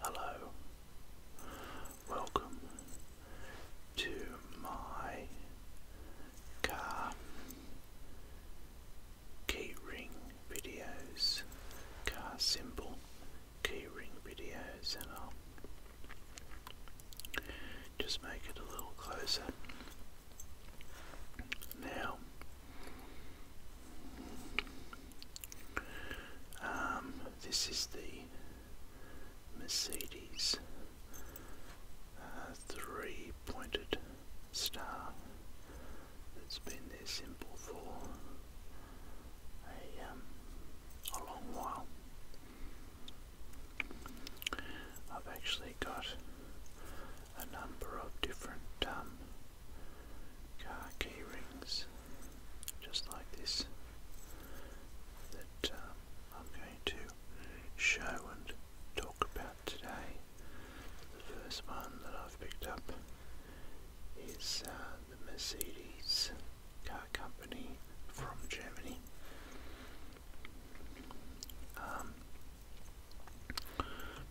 Hello, welcome to my car keyring videos, car symbol keyring videos, and I'll just make it a little closer. Now, um, this is the Mercedes uh, three pointed star that's been their symbol for um, a, long while. I've actually got a number of different um, car key ring just like this that uh, I'm going to show and talk about today. The first one that I've picked up is uh, the Mercedes car company from Germany. Um,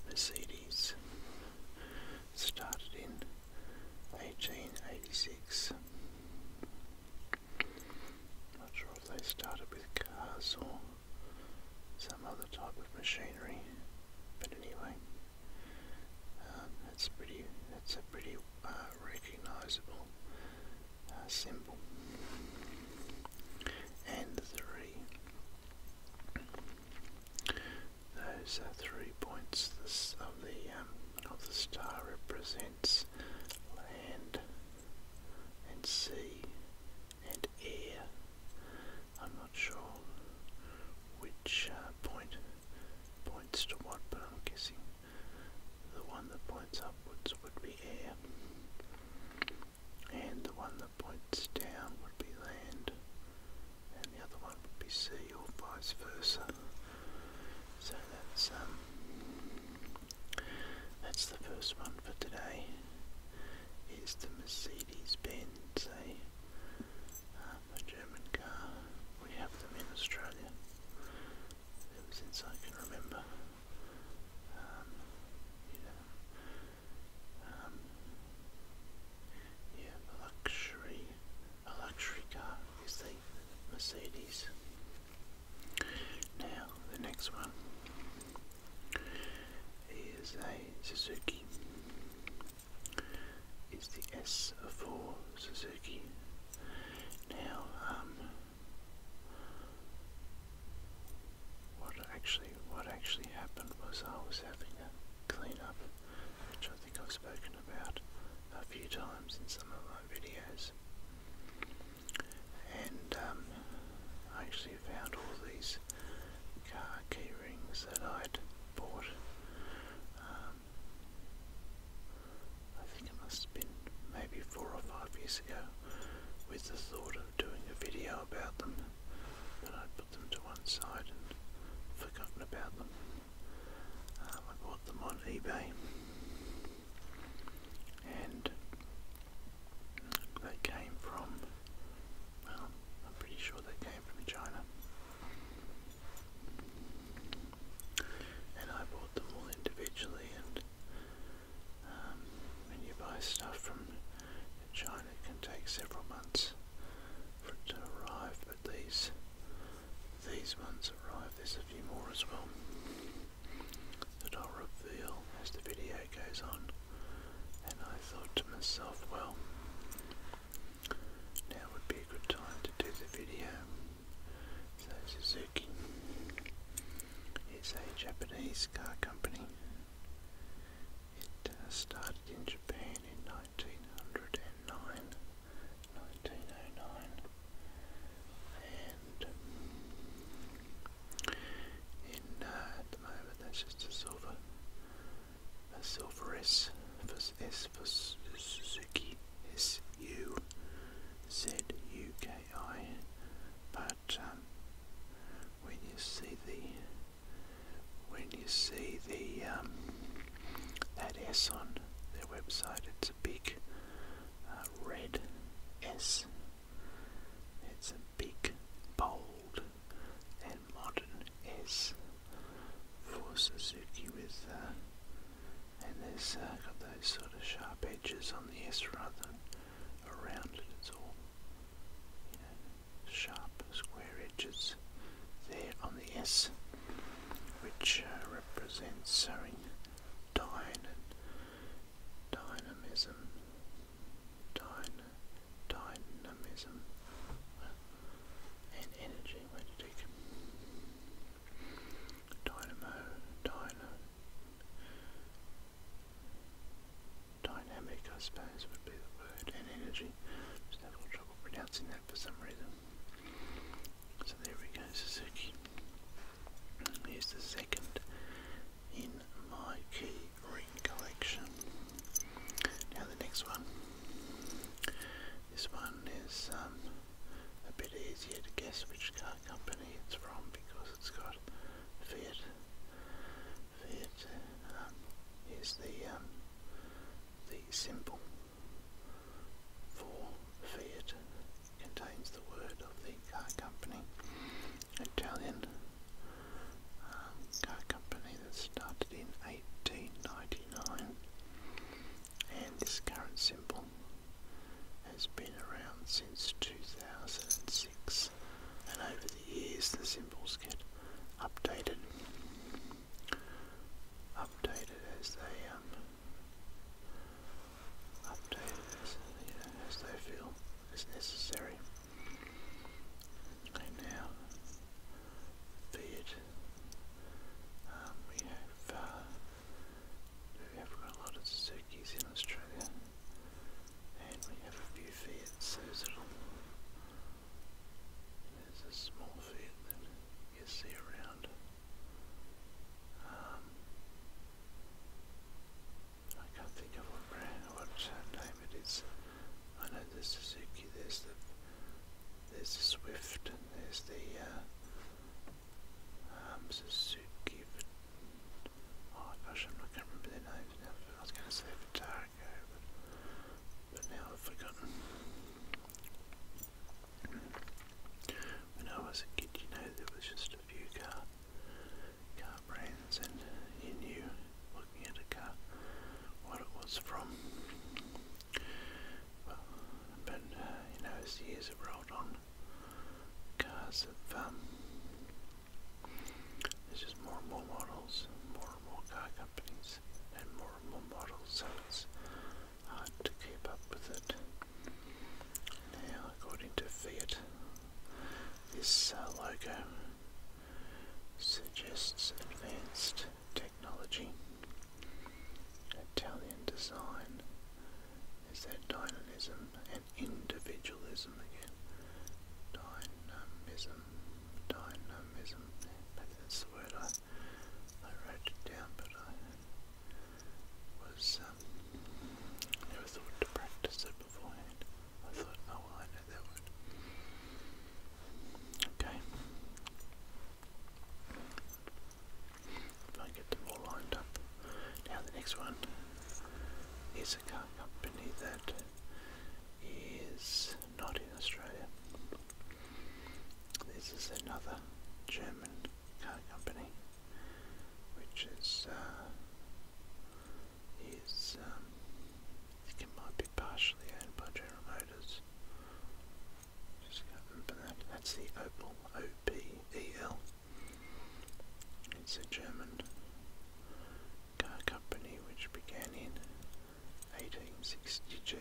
Mercedes started in 1886. Not sure if they started with cars or some other type of machinery, but anyway, um, that's pretty. That's a pretty uh, recognisable uh, symbol. And the three those are three points of the um, of the star represents land and sea and air. I'm not sure which uh, point points to what, but I'm guessing the one that points upwards would be air, and the one that points down would be land, and the other one would be sea, or vice versa. So that's um, that's the first one for today. Is the Mercedes-Benz a, eh? uh, German car? We have them in Australia since I can remember. Um, um, yeah, a luxury, a luxury car is the Mercedes. Now the next one is a Suzuki. It's the S4 Suzuki. Now, um, what actually what actually happened was I was having a clean up which I think I've spoken about a few times in some of my videos. And um, I actually found all these car key rings that I'd bought. Um, I think it must have been maybe four or five years ago with the thought of doing a video about them, but I them to one side and forgotten about them. Um, I bought them on eBay and they came from, well, I'm pretty sure they came from China. And I bought them all individually and um, when you buy stuff from in China, it can take several months for it to arrive, but these these ones arrive. There's a few more as well that I'll reveal as the video goes on. And I thought to myself, well, now would be a good time to do the video. So Suzuki is a Japanese car company. It started in Japan in 1909, 1909, and oh um, uh, at the moment that's just a silver, a silver S S for Suzuki, but um, when you see the when you see the um, that S on their website. It's a big uh, red S. It's a big, bold, and modern S for Suzuki with, uh, and there's has uh, got those sort of sharp edges on the S rather than around it. It's all sharp square edges there on the S, which uh, represents sowing and dynamism, dynamism, and energy. Where did it come? Dynamo, dyno, Dynamic, I suppose, would be the word, and energy. Just have all trouble pronouncing that for some reason. So there we go, Suzuki. Here's the second in my key ring collection. Now the next one. This one is um, a bit easier to guess which car company it's from because it's got Fiat it um, is the um, the symbol for Fiat. contains the word of the car company, Italian um, car company that started in 1899, and this current symbol has been around since 2006 and over the years the symbols get updated, updated as they um, as, they feel is necessary. And now, be um, we have uh, we have got a lot of Suzuki's in Australia, and we have a few Fiat's, those little there's a small feet that you see around. Um, I can't think of what brand, what uh, name it is. I know there's Suzuki, there's the there's Swift, and there's the uh, um, Suzuki. Oh I'm not remember their names now. I was going to say Vitara but now I've forgotten. When I was a kid, you know, there was just a few car, car brands, and you knew, looking at a car, what it was from. but uh, you know, as years have rolled on, cars have um, it's just more and more models, more and more car companies, and more and more model so it's hard uh, to keep up with it. Now, according to Fiat, this uh, logo suggests advanced technology. Italian design is that dynamism and individualism again. Dynamism dynamism. that's the word I I wrote it down, but I was um, never thought to practice it beforehand. I thought, oh well, I know that word. Okay. If I get them all lined up. Now the next one is a car company that is not in Australia. This is another German car company, which is uh, is think um, it might be partially owned by General Motors. Just remember that. That's the Opel, O P E L. It's a German Car Company, which began in 1862,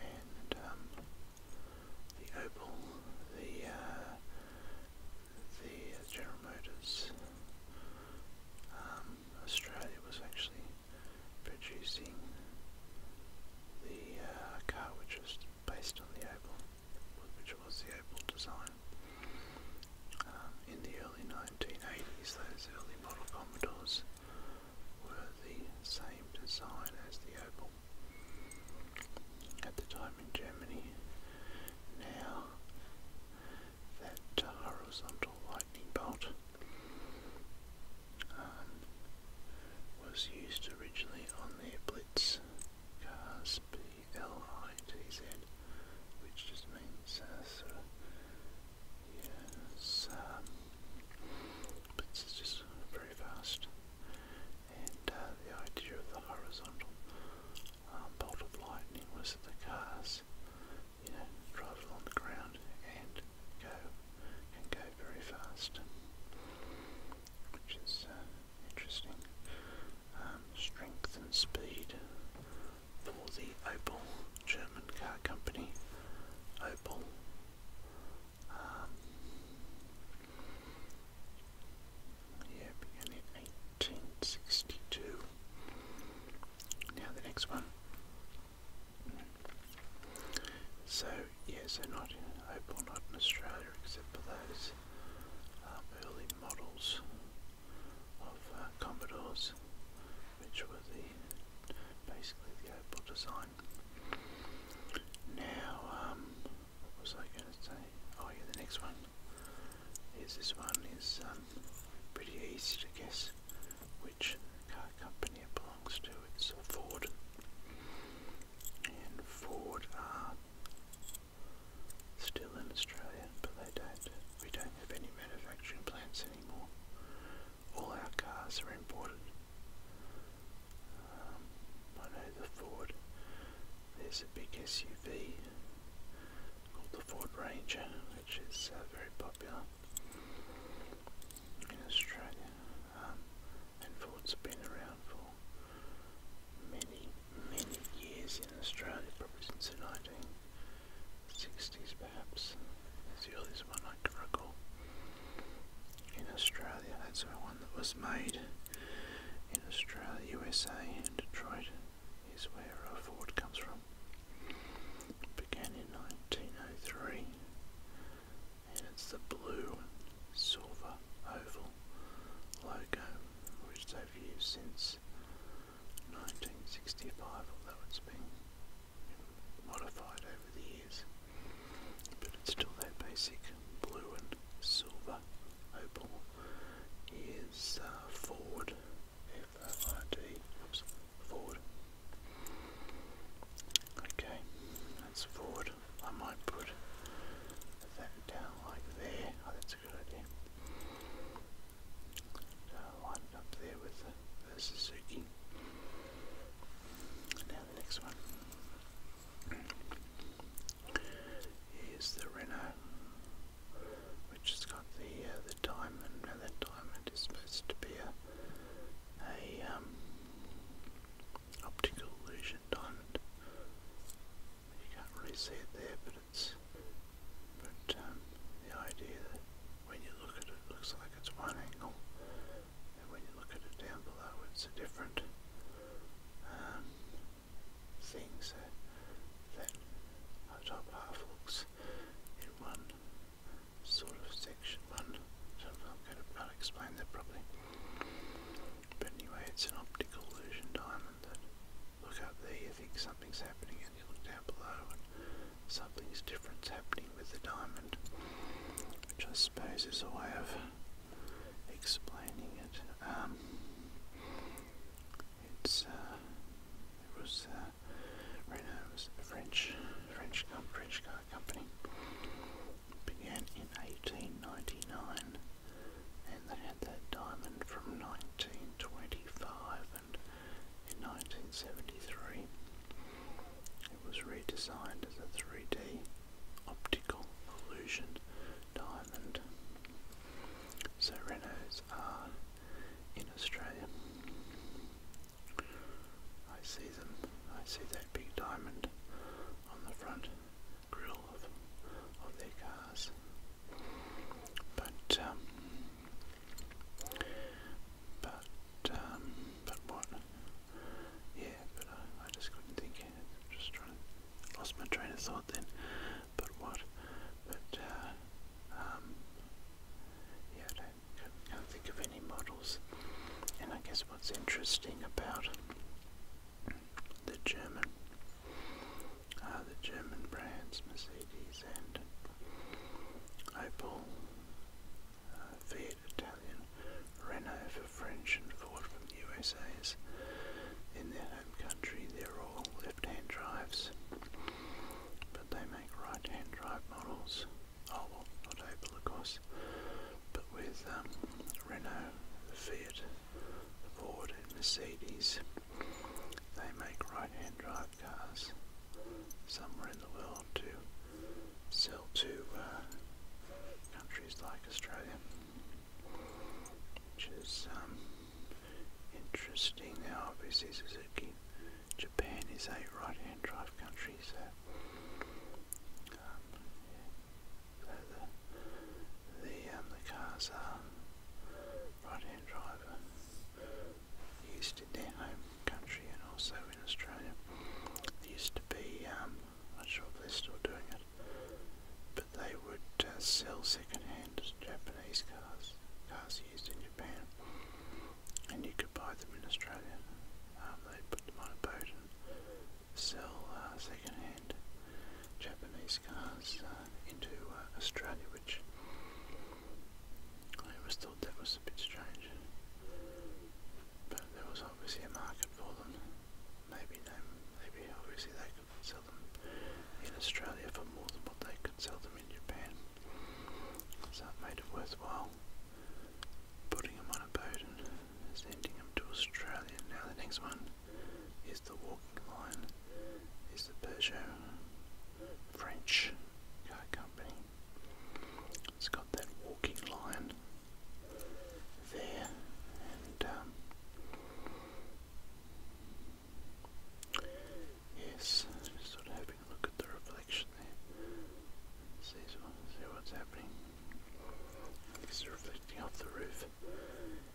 and um, the Opel, the uh, the General Motors um, Australia was actually producing the uh, car which was based on the Opel which was the Opel design. Um, in the early 1980s, those early model Commodores were the same design as the Opel. At the time in Germany, now that uh, horizontal lightning bolt um, was used originally on their Blitz cars, L-I-T-Z, which just means uh, sort of, yes, um, but it's just very fast. And uh, the idea of the horizontal um, bolt of lightning was that the cars, you know, drive along the ground and go, can go very fast, which is uh, Interesting. Um, strength and speed for the Opel German car company. Opel. Um, in 1862. Now the next one. So, yeah, so not in Opal, not in Australia, except for those these um, early models of uh, Commodores, which were the basically the Opal design. Now, um, what was I going to say? Oh yeah, the next one is this one is um, pretty easy to guess which car company it belongs to. It's Ford, and Ford are still in Australia, but they don't. We don't have any manufacturing plants anymore. All our cars are imported. Um, I know the Ford. There's a big SUV called the Ford Ranger, which is uh, very popular in Australia. Um, and Ford's been around for many, many years in Australia, probably since the 1960s perhaps, is the oldest one I can recall in Australia. That's the one that was made in Australia, USA and Detroit is where uh, Ford comes from. began in 1903 and it's the blue and silver oval logo which they overused since 1965, although it's been modified over the years. But it's still that basic blue and silver opal. Is uh, Ford F-O-R-D. Oops, Ford. Okay, that's Ford. I might put that down like there. Oh, that's that's up there with the, the Suzuki. Now the next one is the Renault, which has got the uh, the diamond. Now that diamond is supposed to be a a um, optical illusion diamond. You can't really see it there, but it's but um, the idea that when you look at it, looks like it's one angle, and when you look at it down below, it's a different um, thing. That that top half looks in one sort of section, one. So I'm not going to explain that properly. But anyway, it's an optical illusion diamond look up there, you think something's happening, and you look down below, and something's different happening with the diamond, which I suppose is a way of explaining it. Um, it's uh, it was uh, Renault was a French French French car company. began in 1899 and they had that diamond from 1925 and in 1973 it was redesigned as a 3D optical illusion diamond. So Renaults are in Australia. I see them. I see that big diamond on the front grill of, their cars. But, um, but, um, but what? Yeah, but I, just couldn't think. just trying to, lost my train of thought then. But what? But, uh, um, yeah, I can't think of any models. And I guess what's interesting about the German uh, the German brands Mercedes and Opel, uh, Fiat Italian, Renault for French, and Ford from the USA's. In their home country, they're all left-hand drives, but they make right-hand drive models. Oh, well, not Opel, of course, but with um, Renault, Fiat, Ford and Mercedes. They make right-hand drive cars somewhere in the world to sell to uh, countries like Australia, which is um, interesting. Now, obviously, Suzuki Japan is a right-hand drive country, so um, the the, um, the cars are right-hand drive used in their home country and also in Australia. There used to be, um, I'm not sure if they're still doing it, but they would uh, sell second-hand Japanese cars, cars used in Japan, and you could buy them in Australia. Um, they put them on a boat and sell uh, second-hand Japanese cars uh, into uh, Australia, which I always thought that was a bit strange. But there was obviously a market for them. Maybe they, maybe obviously they could sell them in Australia for more than what they could sell them in Japan. So it made it worthwhile putting them on a boat and sending them to Australia. Now the next one is the walking line, is the Peugeot French car company. It's got that walking line there, and um, yes, just sort of having a look at the reflection there, see, see what's happening. This is reflecting off the roof.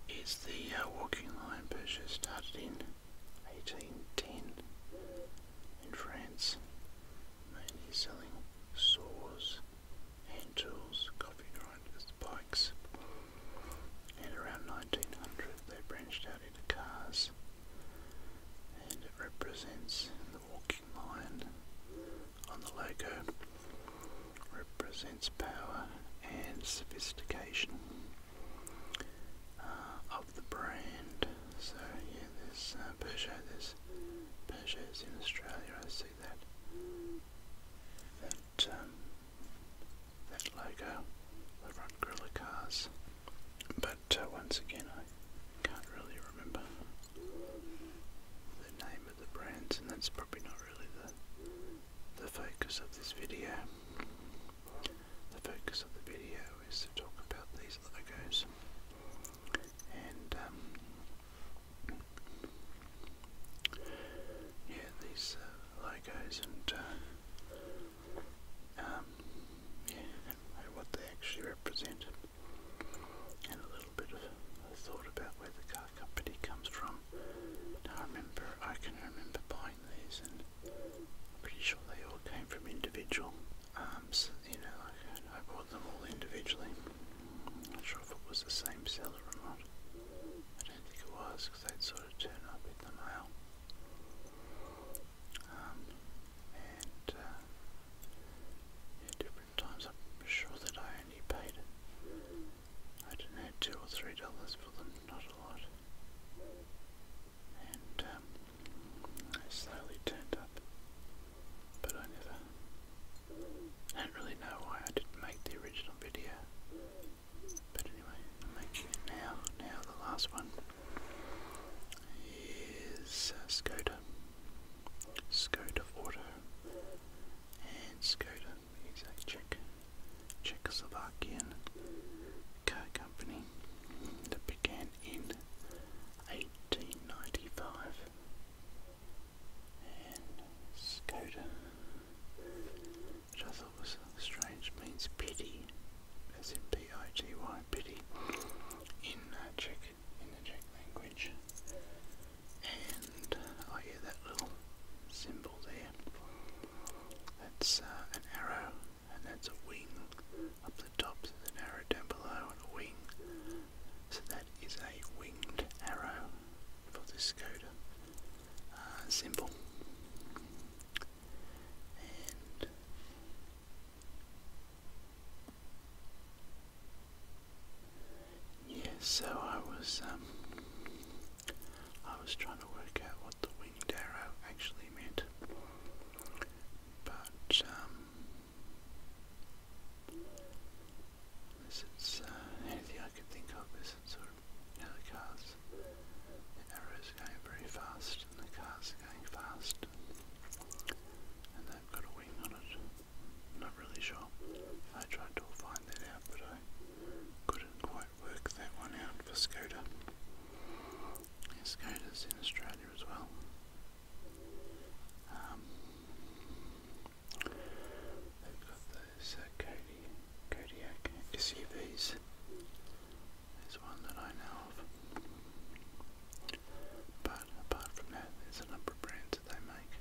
It's the uh, walking line Peugeot started in 1810 in France, mainly selling saws, hand tools, coffee grinders, bikes, and around 1900 they branched out into cars, and it represents the walking line on the logo represents power and sophistication uh, of the brand. So yeah, there's uh, Peugeot. There's Peugeot's in Australia. I see that that um, that logo. They run Gorilla cars, but uh, once again, I can't really remember the name the brands and that's probably not really the, the focus of this video. The focus of the video is to talk about these logos and um, yeah these uh, logos and uh, um, yeah, what they actually represent and a little bit of thought about where the car company comes from. Now I remember, I can remember buying these, and I'm pretty sure they all came from individual. Um, so, you know, like I, I bought them all individually. I'm not sure if it was the same seller or not. I don't think it was, because they'd sort of turn up in the mail. Um, and uh, yeah, times. I'm sure that I only paid, I don't know, two or three dollars for them, not a lot. And um, slowly turned up, but I never. I don't really know why I didn't make the original video. But anyway, I'm making it now. Now the last one is uh, Skoda. Skoda Auto and Skoda. a Czech, Czechoslovakian car company that began in 1895. And Skoda, which I thought was strange, means pity, as in P-I-T-Y, pity, in uh, Czech, in the Czech language and oh yeah, that little symbol there, that's uh, an arrow, and that's a wing up the top, there's an arrow down below and a wing, so that is a winged arrow for this Skoda uh, symbol. Yes, so I was um, I was trying to work out what the winged arrow actually meant. But um, this is anything I could think of is sort of cars the arrows going very fast and the cars are going fast and they've got a wing on it. Not really sure. I tried to find that out, but I couldn't quite work that one out for Skoda. Yeah, Skoda's in Australia as well. Um, they've got those uh, Kodiak SUVs. There's one that I know of. But apart from that, there's a number of brands that they make.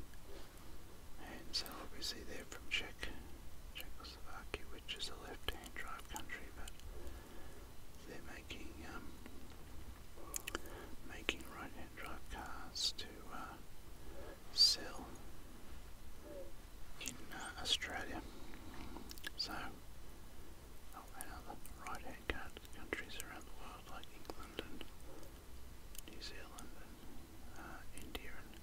And so obviously they're from Czech, Czechoslovakia, which is a left-hand drive country, but they're making um, making right-hand drive cars to uh, sell in uh, Australia. So, oh, and other right-hand countries around the world like England and New Zealand and uh, India and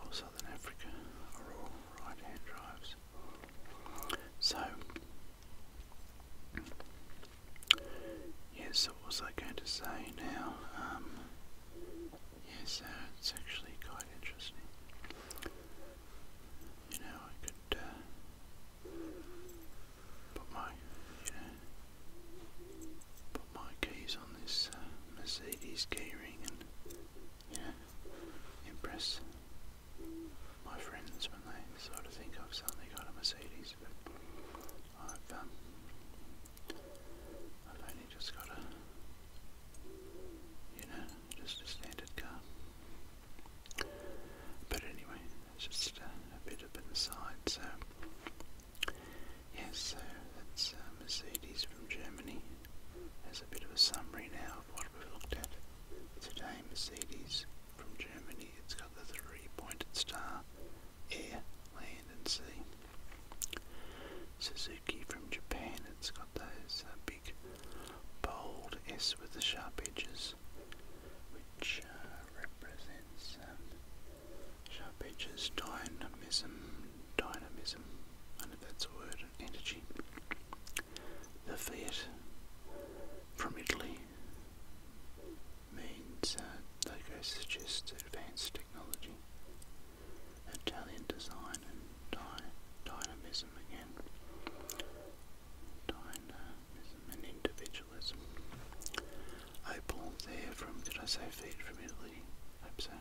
or Southern Africa are all right-hand drives. So, yes, so what was I going to say now? Um, yes, uh, it's actually quite interesting. You know, I could uh, Put my, yeah, put my keys on this uh, Mercedes keyring and yeah, impress my friends when they sort of think I've suddenly got a Mercedes, but I've um, I've only just got a, you know, just a standard car. But anyway, just a bit of an aside. So Yes, so that's uh, Mercedes from Germany. Has a bit of a summary now of what we've looked at. Today, Mercedes from Germany, it's got the three pointed star air, land, and sea. Suzuki from Japan, it's got those uh, big bold S with the sharp edges which uh, represents um, dynamism, dynamism, I don't know if that's a word, energy. The Fiat from Italy means uh, logo suggests advanced technology. Italian design and dynamism again. Dyna dynamism and individualism. Opal there from, did I say feet from Italy? Hope so.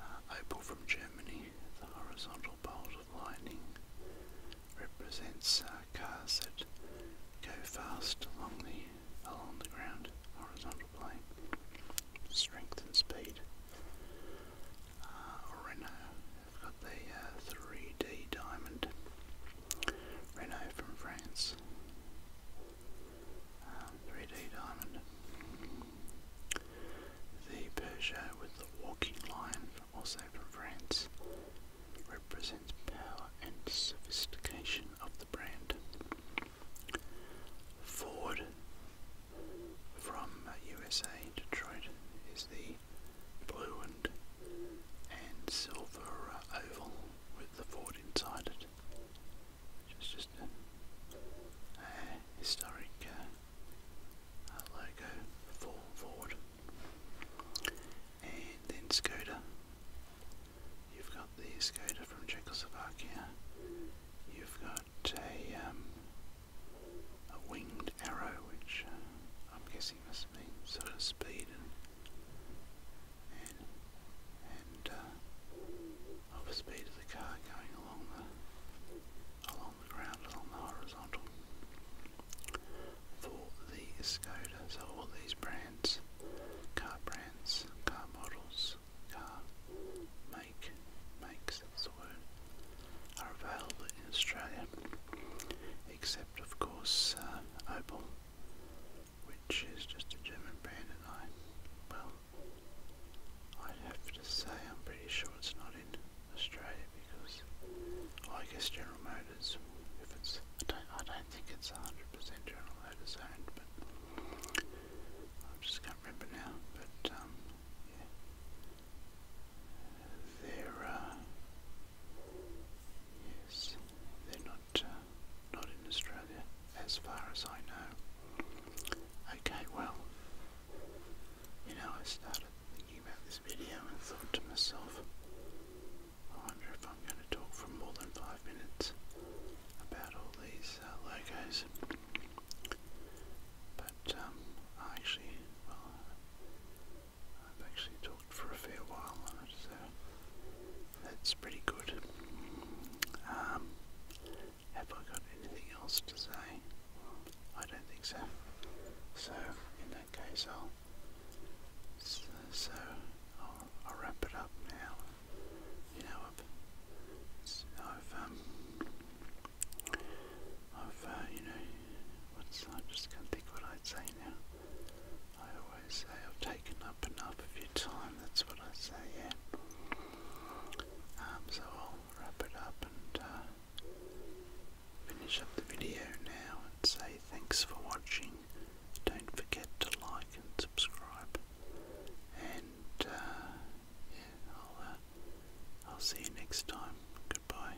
Uh, opal from Germany, the horizontal bolt of lightning represents uh, cars that go fast along the along the ground, horizontal plane, strength and speed. Uh, Renault, got the 3D uh, diamond. Renault from France, 3D um, Diamond, the Persia with the walking line, also from France, represents power and sophistication of the brand. Ford from USA, Detroit, is the blue and, and silver uh, oval with the fort inside it. Which just a, historic uh, logo for Ford. And then Skoda. You've got the Skoda from Czechoslovakia. You've got a, um, a winged arrow which uh, I'm guessing this means sort of speed and and, and uh, of the speed of the car going along the along the ground, along the horizontal. For the Skoda, so all these brands, car brands, car models, car make makes that's the are available in Australia, except of course uh, Opel which is just a German brand and I, well, I'd have to say I'm pretty sure it's not in Australia because, I guess General Motors, if it's, I don't, I don't think it's 100% General Motors owned, but I just can't remember now, but, um, yeah, they Yes, they're not uh, not in Australia, as far as I know. Okay, well, you know, I started thinking about this video and thought to myself, I wonder if I'm going to talk for more than five minutes about all these uh, logos. But um, actually, well, I've actually talked for a fair while on it, so that's pretty good. Um, have I got anything else to say? I don't think so. So in that case, I'll so, I'll, wrap it up now. You know, I've I've um, uh, you know what's I just can't think what I'd say now. I always say I've taken up enough of your time, that's what I say, yeah. Um, so I'll wrap it up and uh, finish up the video now and say thanks for watching. Don't forget to like and subscribe. And uh, yeah, I'll, uh, I'll see you next time. Goodbye.